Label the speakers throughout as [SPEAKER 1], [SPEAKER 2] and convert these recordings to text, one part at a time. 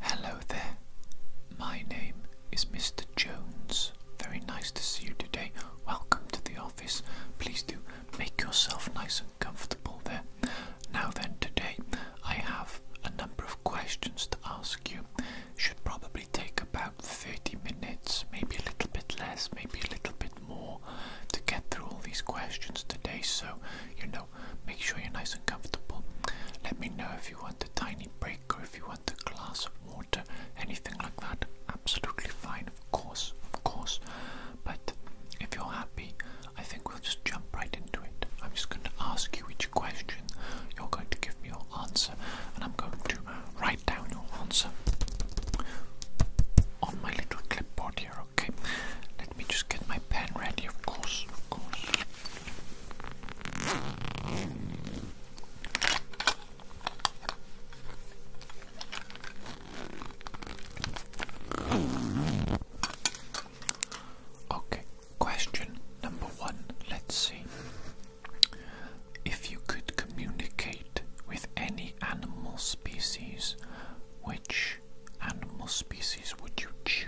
[SPEAKER 1] Hello there, my name is Mr. Jones. Very nice to see you today. Welcome to the office. Please do make yourself nice and comfortable there. Now then, today I have a number of questions to ask you. Should probably take about 30 minutes, maybe a little bit less, maybe a little bit more to get through all these questions today. So, you know make sure you're nice and comfortable. Let me know if you want a tiny break or if you want a glass of water, anything like that. Absolutely fine, of course, of course. But if you're happy, I think we'll just jump right into it. I'm just going to ask you each question. You're going to give me your answer, and I'm going to write down your answer on my little clipboard here, okay? Let me just get my pen ready, of course, of course. Okay, question number one. Let's see. If you could communicate with any animal species, which animal species would you choose?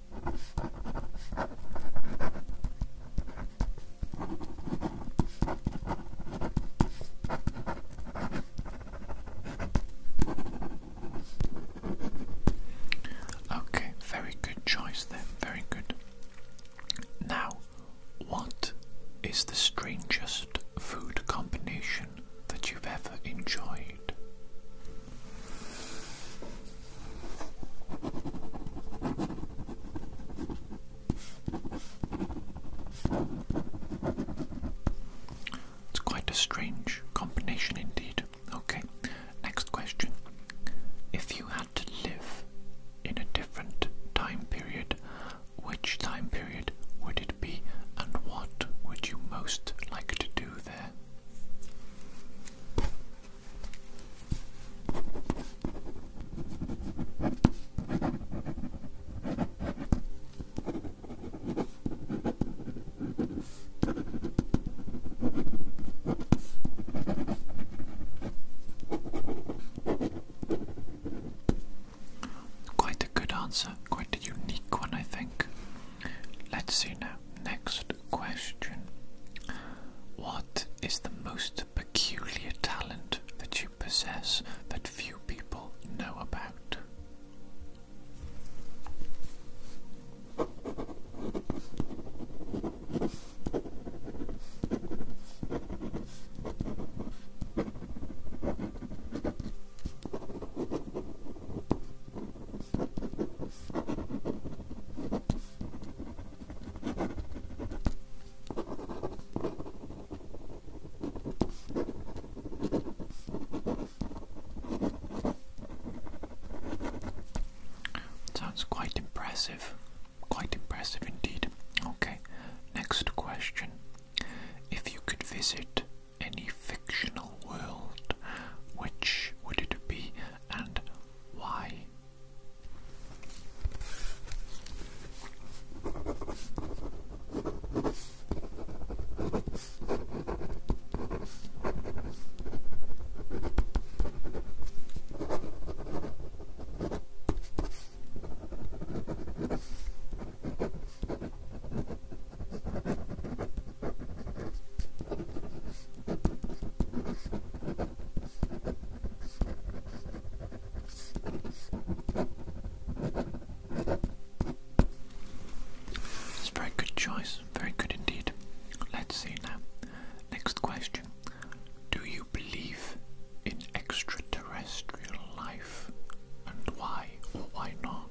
[SPEAKER 1] Okay, very good choice then, very good. Now, what is the strangest food combination that you've ever enjoyed? It's quite a strange combination indeed. Okay, next question. If you had to live in a different time period, which time period would it be and what would you most like to do there? Quite a good answer, quite a unique one, I think. Let's see now. Next question. What is the most peculiar talent that you possess that few people know about? Sounds quite impressive. Quite impressive indeed. Okay, next question. If you could visit any fictional world, which would it be and why? It's very good choice, very good indeed. Let's see now. Next question Do you believe in extraterrestrial life and why or why not?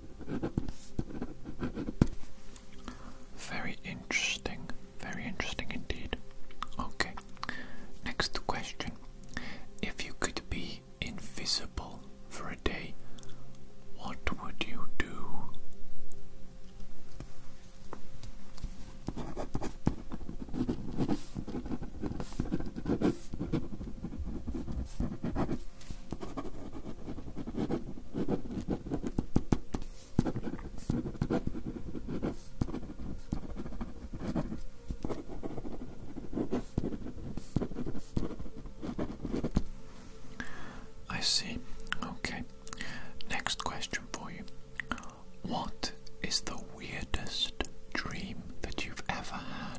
[SPEAKER 1] Very interesting, very interesting indeed. Okay, next question. If you could be invisible for a day, what would you do? I see. Okay. Next question for you. What is the weirdest dream that you've ever had?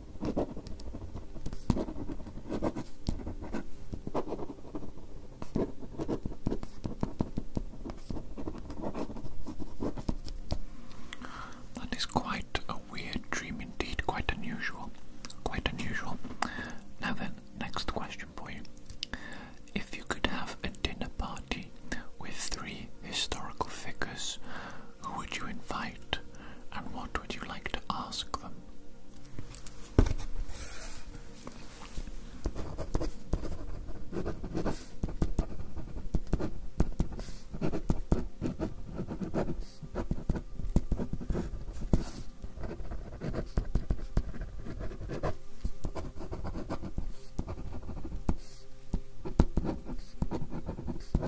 [SPEAKER 1] That is quite a weird dream indeed, quite unusual. Quite unusual. Now then, next question for you. If you could have a dinner party with three historical figures, who would you invite and what would you like to ask them?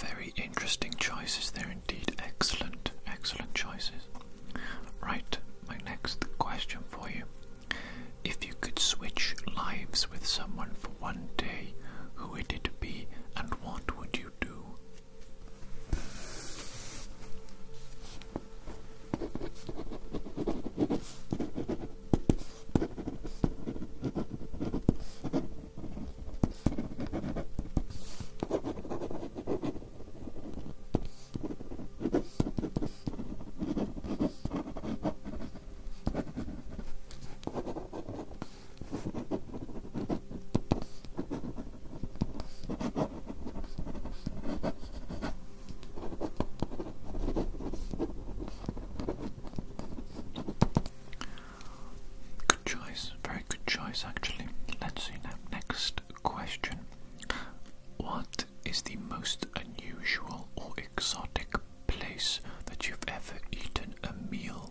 [SPEAKER 1] Very interesting choices They're indeed. Excellent, excellent choices. Right, my next question for you. If you could switch lives with someone for one day, who would it be and what would you? you do? Good choice, very good choice actually. Let's see now. Next question What is the most unusual or exotic place that you've ever eaten a meal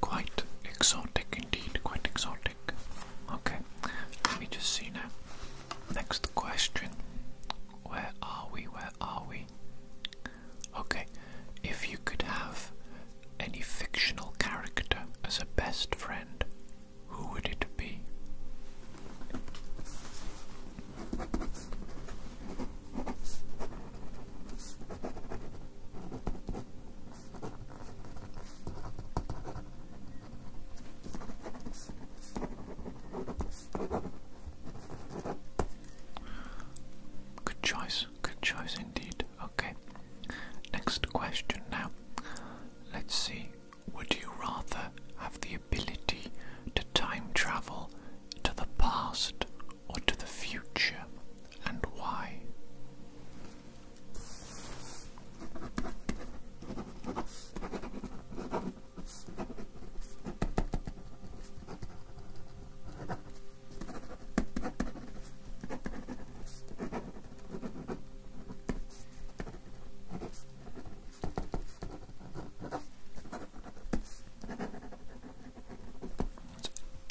[SPEAKER 1] quite exotic indeed, quite exotic. Okay, let me just see now. Next question. Where are we? Where are we? Okay, if you could have any fictional character as a best friend, who would it be? Good choice, good choice indeed. Okay, next question now. Let's see, would you rather have the ability to time travel to the past or to the future? and why?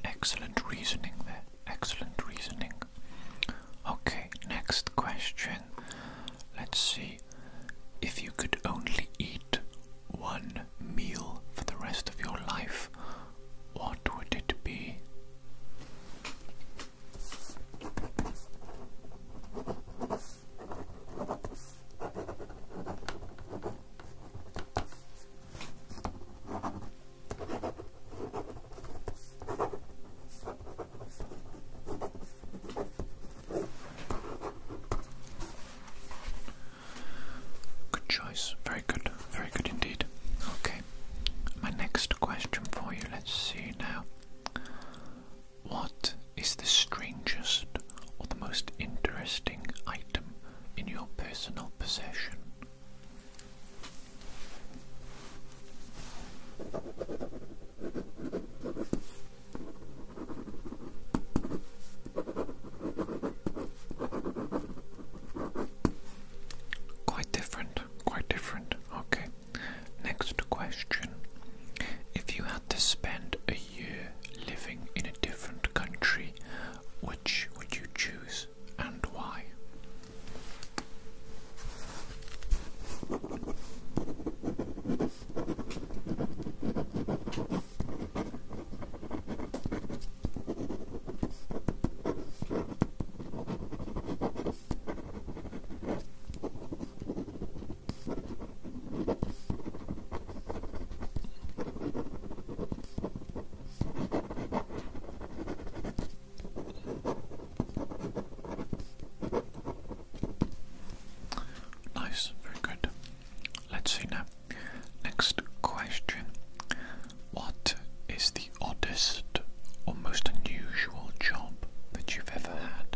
[SPEAKER 1] excellent reasoning there. Excellent reasoning. Okay, next question. Let's see. If you could only eat one meal for the rest of your life, what would it be? Good choice. Very good. Very good indeed. Okay. My next question for you. Let's see now. What is the strangest or the most interesting item in your personal possession. Quite different, quite different. Okay, next question. If you had to spend a year living in a different country, which would you choose and why? Nice, very good. Let's see now. Next question What is the oddest or most unusual job that you've ever had?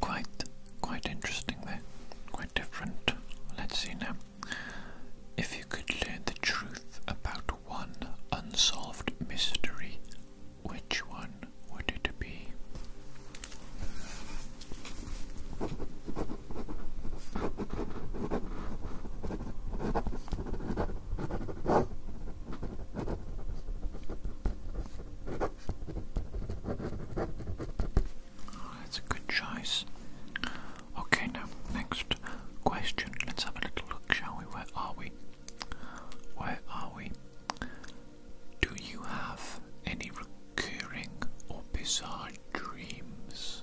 [SPEAKER 1] Quite, quite interesting there. Quite different. Let's see now. If you could learn the truth about one unsolved mystery, which one would it be? Ah, that's a good choice. Okay, now, next question. Let's have a little look, shall we? Where are we? Where are we? Do you have any recurring or bizarre dreams?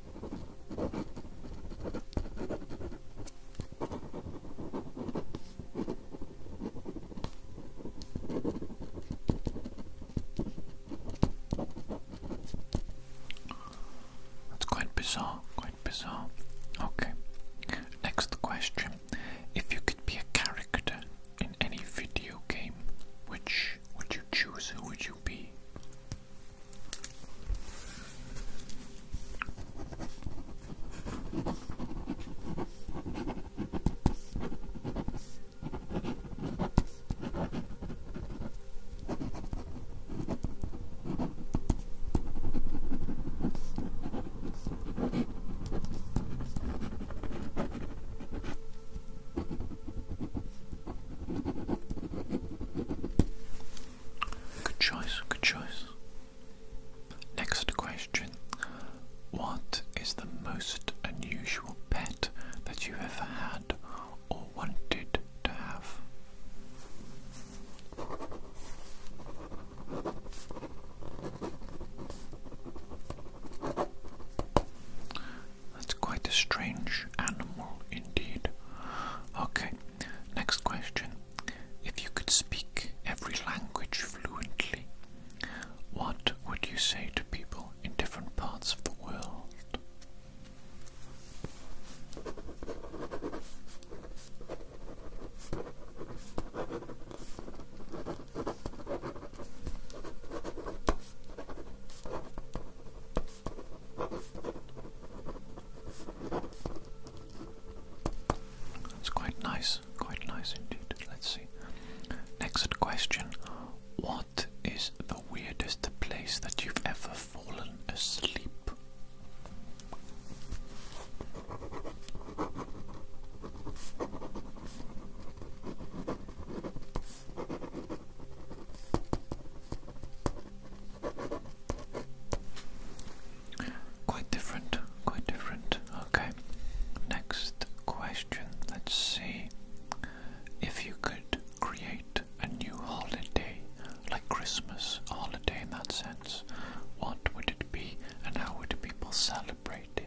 [SPEAKER 1] That's quite bizarre, quite bizarre. Okay, next question. If you could be a character in any video game, which would you choose? would you you be? Good choice, good choice. Next question What is the most unusual pet that you ever had or wanted to have? That's quite a strange animal indeed. Okay, Next question. If you could speak every language fluently, what would you say to people in different parts of the world? It's quite nice, quite nice indeed. Let's see. Next question What is the weirdest place that you've ever fallen asleep? Quite different, quite different. Okay, next question. Let's see. If you could create a new holiday, like Christmas holiday in that sense, what would it be and how would people celebrate it?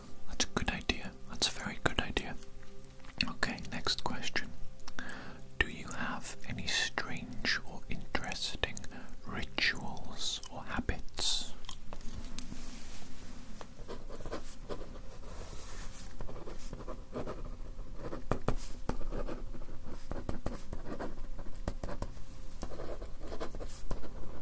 [SPEAKER 1] That's a good idea. That's a very good idea. Okay, next question. Do you have any strange or interesting rituals or habits?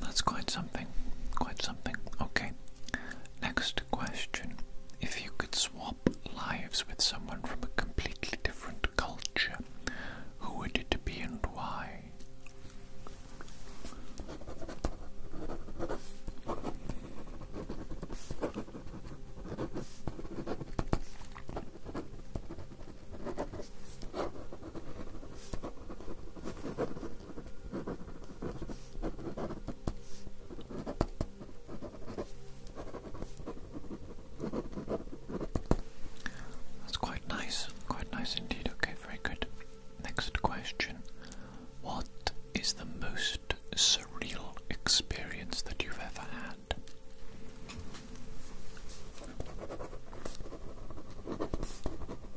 [SPEAKER 1] That's quite something. Quite something. Okay. Next question. If you could swap lives with someone from a completely different culture, who would it be and why? That's quite nice, quite nice indeed. Okay, very good. Next question What is the most surreal experience that you've ever had?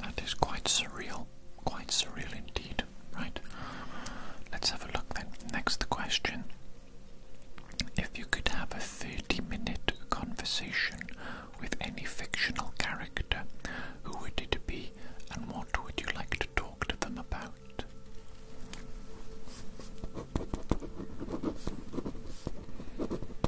[SPEAKER 1] That is quite surreal, quite surreal indeed, right? Let's have a look then. Next question. If you could have a 30 minute conversation with any fictional character, who would it be and what would you like to talk to them about?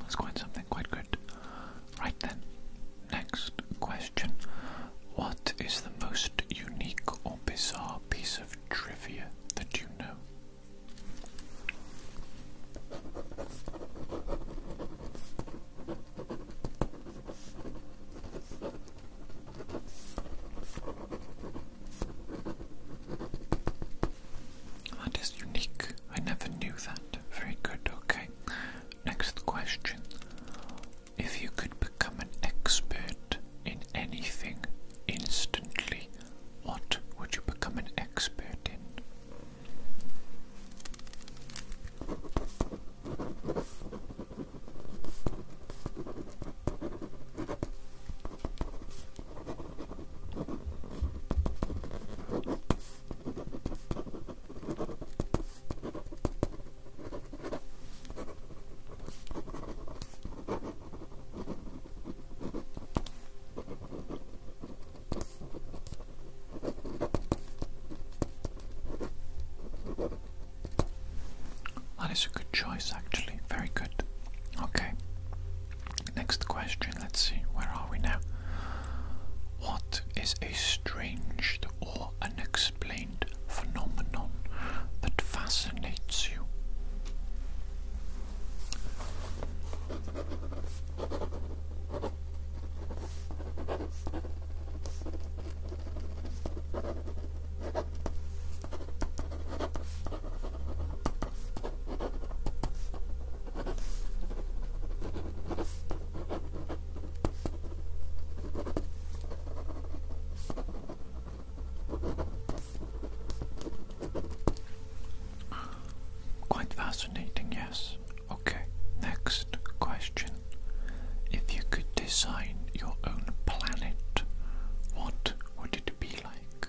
[SPEAKER 1] That's quite something, quite good. Right then, next question. What is the most unique or bizarre piece of trivia that you know? That is unique. I never knew that. Very good, okay. Next question. If you could become an expert in anything instantly, what would you become an expert in? That is a good choice, actually. Very good. Okay. Next question, let's see, where are we now? What is a strange or unexplained phenomenon that fascinates you? Quite fascinating, yes. Okay, next question. If you could design your own planet, what would it be like?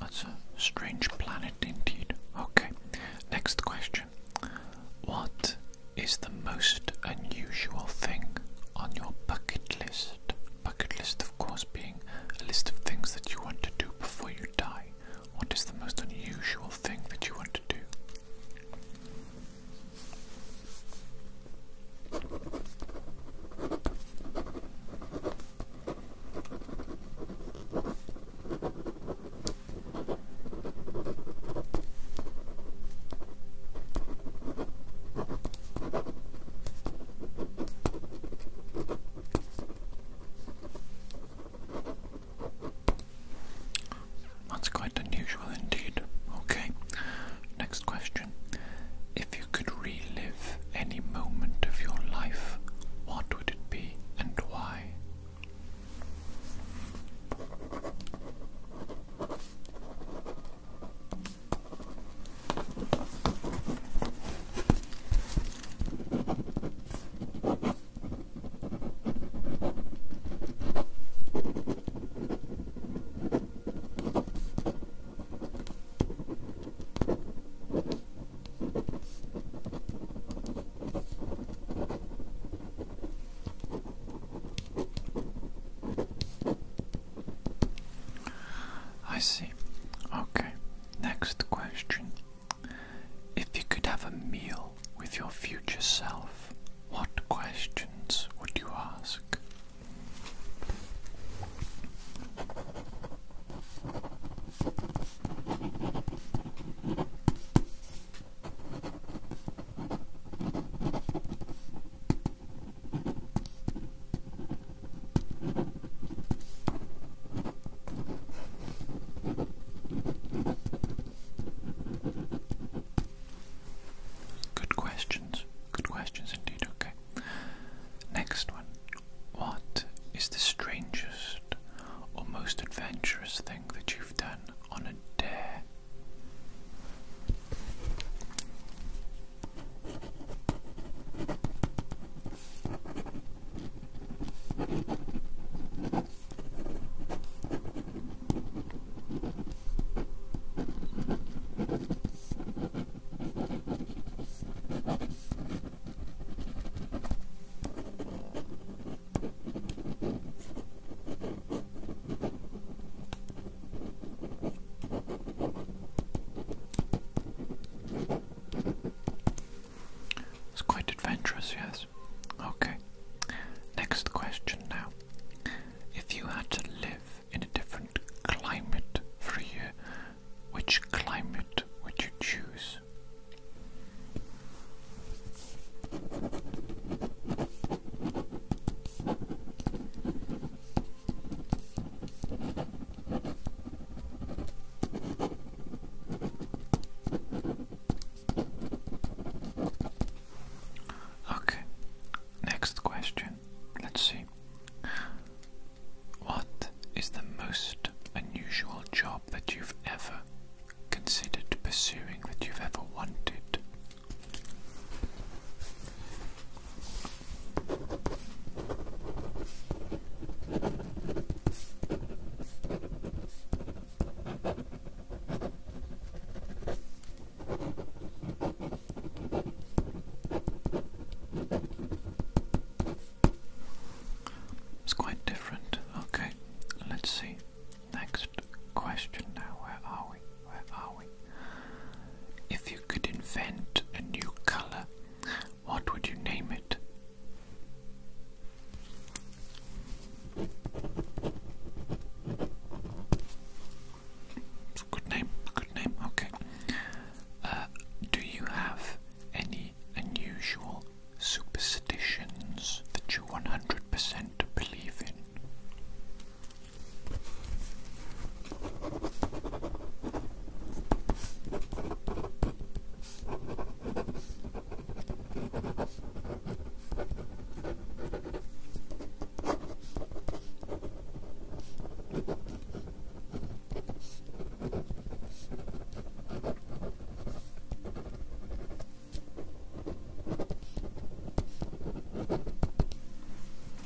[SPEAKER 1] That's a strange planet indeed. Okay, next question. What is the most unusual thing on your bucket list? Bucket list, of course, being a list of things that you want to do before you die. What is the most unusual thing that you want to do? That's quite unusual indeed. Okay, next question. If you could relive any moment of your life, what would it be and why? I see. Okay, next question. If you could have a meal with your future self, what questions would you ask? Good questions. Good questions indeed. Okay. Next one. What is the strangest or most adventurous thing that you've done on a dare? It's quite adventurous, yes. Okay. Next question now. If you had to live in a different climate for a year, which climate would you choose? Okay, next question. Let's see. What is the most unusual job that you've ever considered pursuing, that you've ever wanted? It's quite different. Okay, let's see. Next question now. Where are we? Where are we? If you could invent a new color, what would you name it? It's a good name, good name, okay. Uh, do you have any unusual superstitions that you 100% believe in?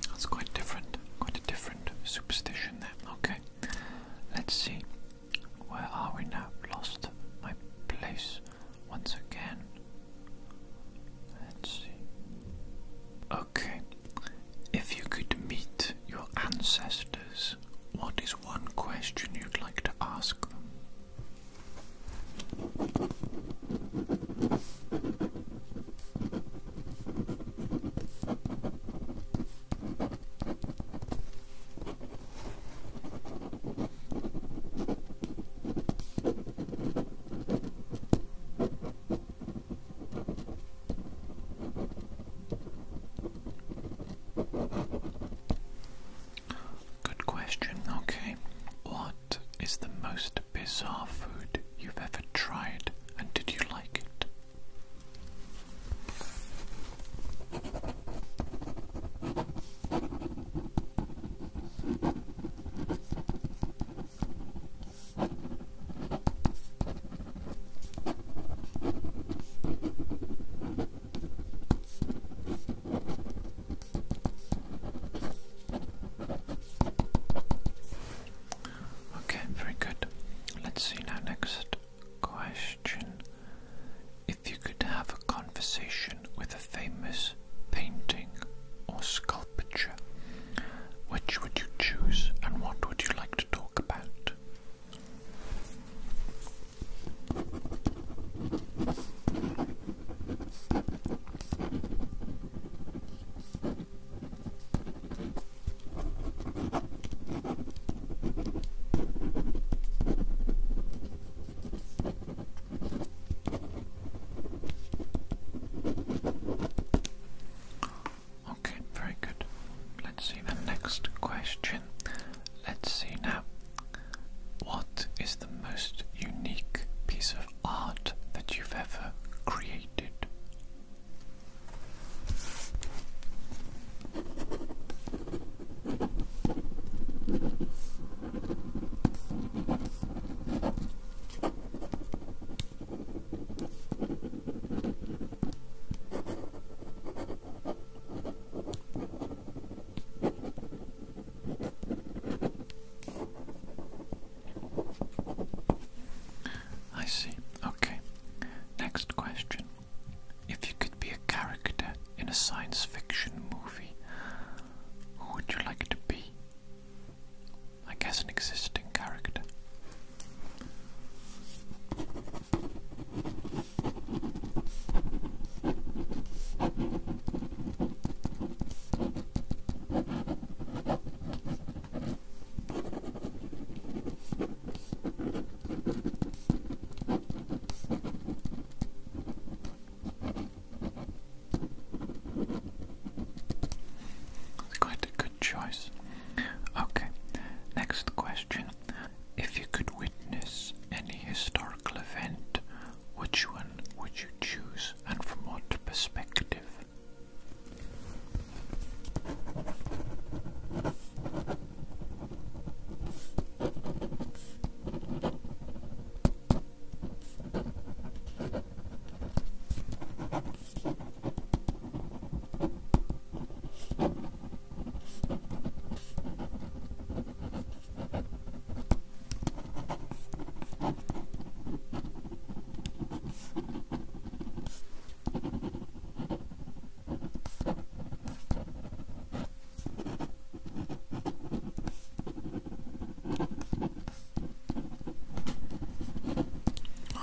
[SPEAKER 1] That's quite different, quite a different superstition there. Okay, let's see. Where are we now? Lost my place once again. Let's see. Okay, if you could meet your ancestors, what is one question you'd like to ask them? Good question, okay. What is the most bizarre food you've ever tried and did you like it? Okay, very good. Let's see now. Next question. If you could have a conversation with a famous painting or sculpture, which would you choose and what would you like to? like to talk about. Okay, very good. Let's see the next question. Let's see now. What is the most unique piece of art that you've ever created? I see. Okay. Next question. If you could be a character in a science fiction movie, who would you like to be? I guess an existing character quite a good choice. Okay, next question. If you could witness any historical event, which one would you choose and from what perspective?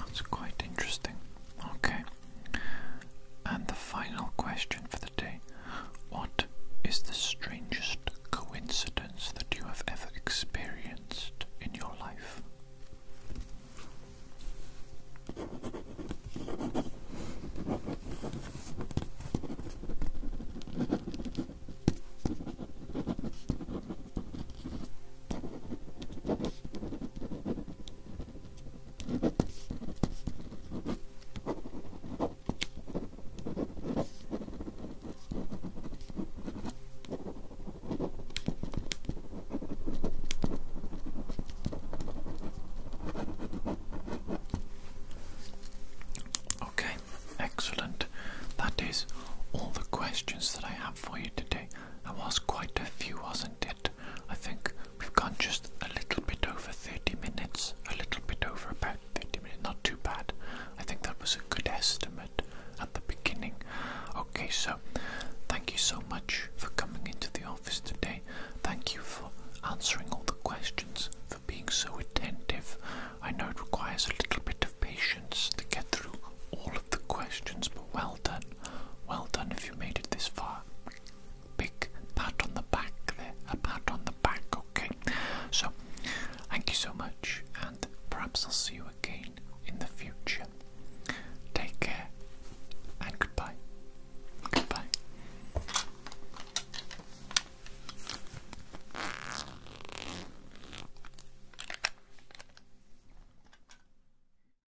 [SPEAKER 1] That's quite interesting. Okay. And the final question for the day What is the strangest coincidence that you have ever experienced in your life? Okay, excellent. That is all the questions that I have for you today. There was quite a few, wasn't it? I think we've gone just a little bit over 30 minutes, a little bit over about 30 minutes, not too bad. I think that was a good estimate at the beginning. Okay, so thank you so much for coming into the office today. Thank you for answering all the questions, for being so attentive. I know it requires a little bit of patience to get through all of the questions, but well done. Well done if you made it this far. Big pat on the back there. A pat on the back, okay? So, thank you so much, and perhaps I'll see you again in the future. Take care, and goodbye. Goodbye.